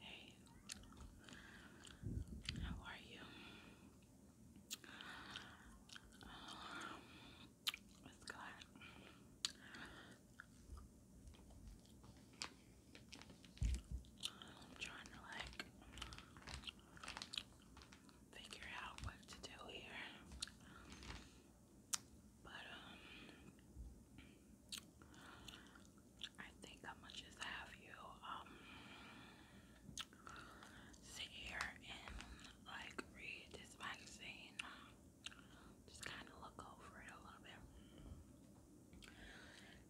Hey, how are you? Um, it's glad. I'm trying to like figure out what to do here. But um I think I'm gonna just have you um sit here and like read this magazine. Just kinda look over it a little bit.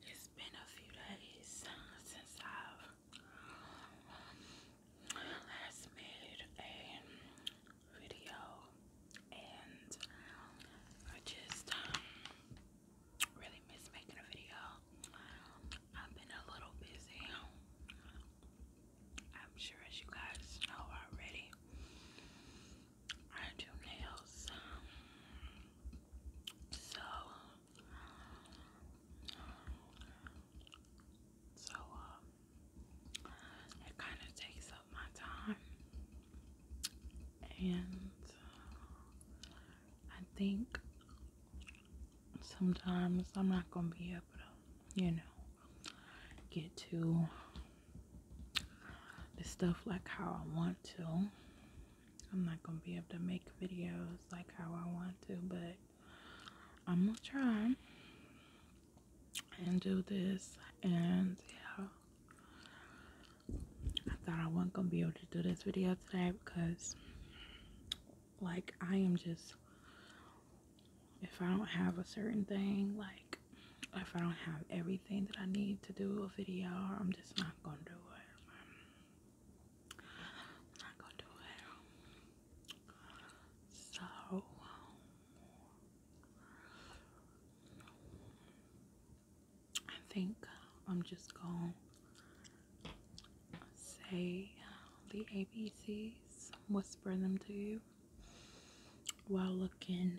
It's been a few days since I've um, last made a video and I just um, really miss making a video. I've been a little busy. I'm sure as you guys know already. I do nails. So so um it kind of takes up my time, and uh, I think sometimes I'm not gonna be able to, you know, get to the stuff like how I want to. I'm not gonna be able to make videos like how I want to, but I'm gonna try and do this and yeah I thought I wasn't gonna be able to do this video today because like I am just if I don't have a certain thing like if I don't have everything that I need to do a video I'm just not gonna do it not gonna do it so I think I'm just gonna say the ABCs, whisper them to you while looking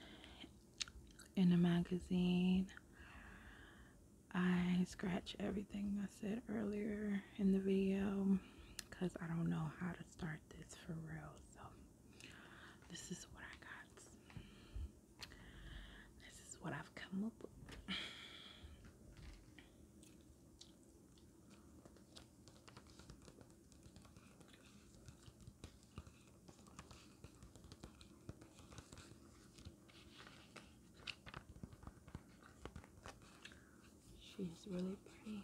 in a magazine. I scratch everything I said earlier in the video because I don't know how to start this for real. So, this is what I got. This is what I've come up with. She's really pretty.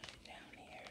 put it down here.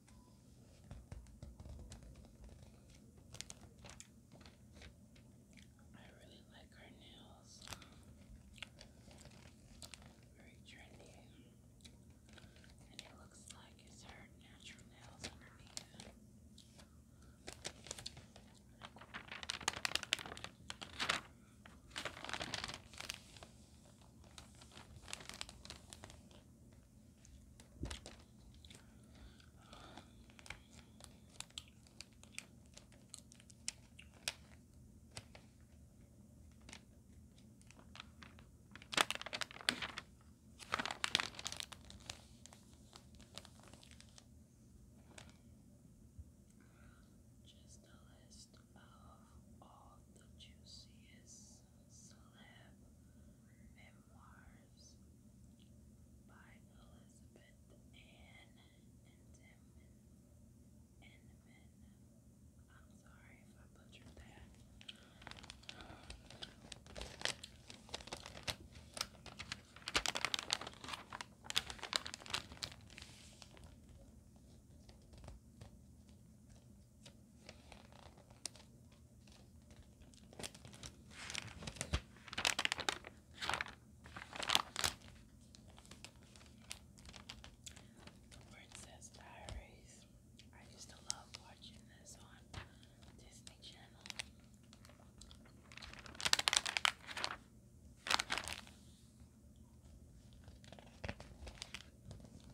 I really like her nails. Very trendy. And it looks like it's her natural nails underneath. Just a list of all the juiciest celeb memoirs by Elizabeth Ann Enman. I'm sorry if I butchered that. The Princess Diaries. I used to love watching this on Disney Channel.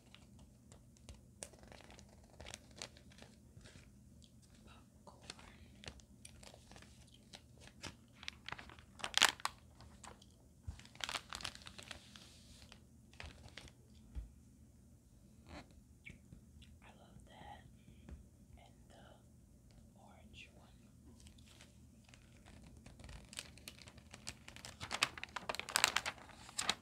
I love that and the orange one.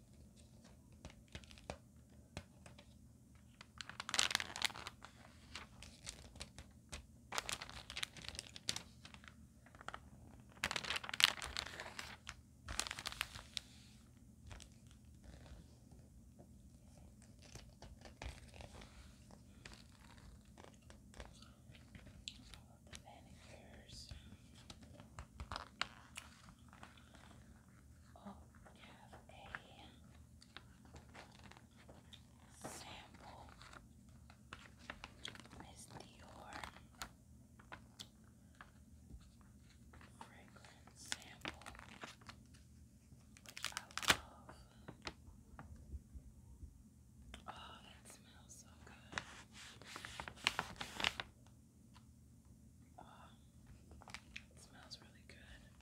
All of the manicures. Oh, we have a sample. Miss Dior fragrance sample, I love. Oh, that smells so good. Oh, it smells really good. Is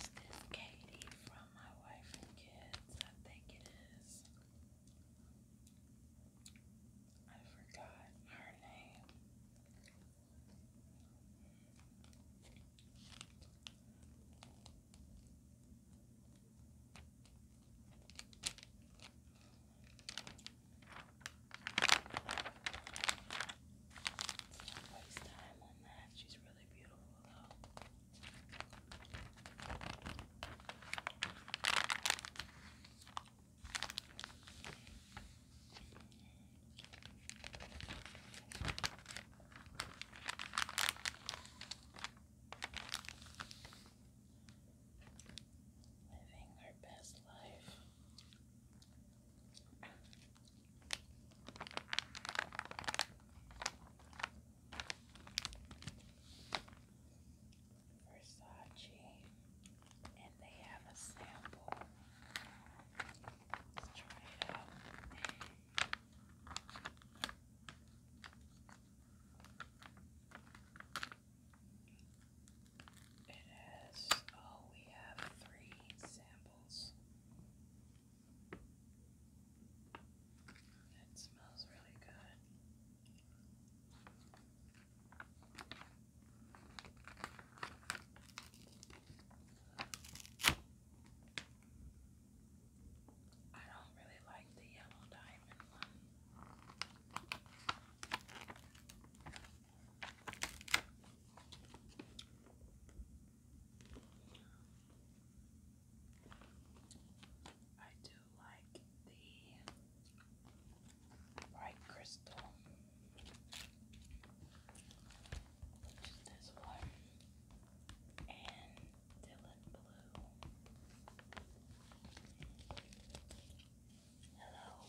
this Katie from about my wife and kids. I think it is. I forgot her name. Waste time on that. She's really beautiful Living our best life. Versace, and they have a sample. Let's try it out. It oh, we have three samples. It smells really good. I don't really like the yellow diamond one. I do like the bright crystal, which is this one, and Dylan Blue. Hello.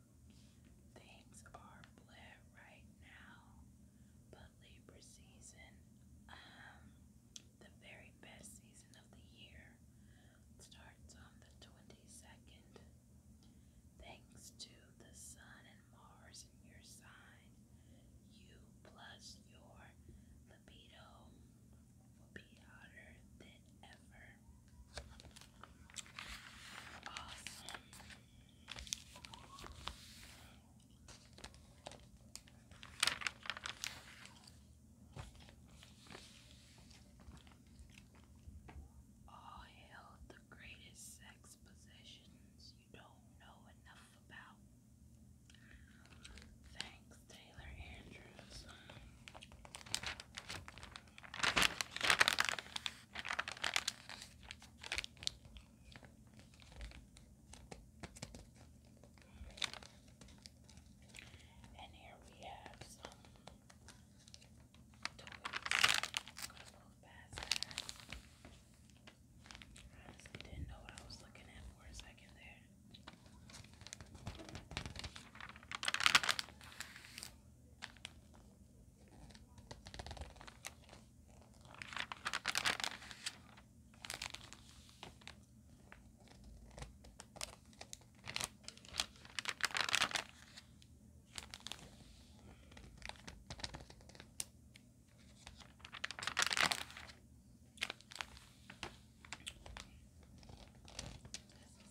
Things are bleh right now, but Libra season, um, the very best season of the year, starts on the 22nd. Thanks to the Sun and Mars in your sign, you plus your libido will be hotter than ever. Awesome. All hail the greatest sex possessions you don't know enough about. Thanks, Taylor Andrews. And here we have some toys. I didn't know what I was looking at for a second there. This is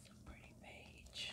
a pretty page.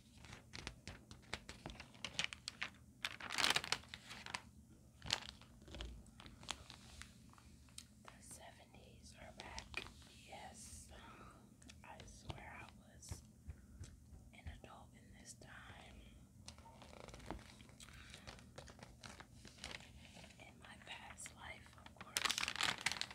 The seventies are back. Yes, I swear I was an adult in this time. In my past life, of course.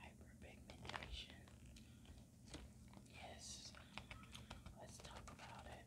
Hyperpigmentation. Yes, let's talk about it.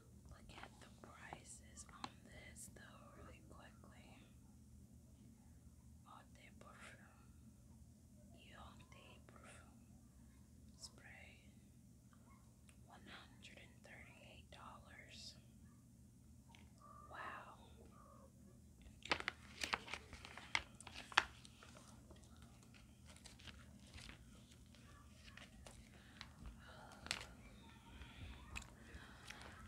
look at the prices on this though really quickly. Oh, Eau perfume, Eau perfume spray, one hundred and thirty-eight dollars. Wow.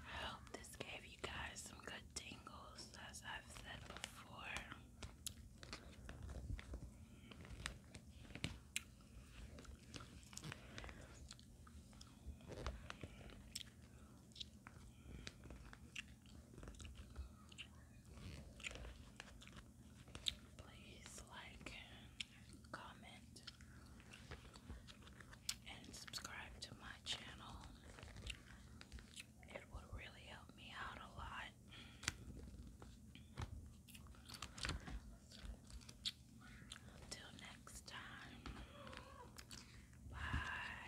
I hope this gave you guys some good tingles, as I've said before please like, comment, and subscribe to my channel. It would really help me out a lot. Till next time. Bye.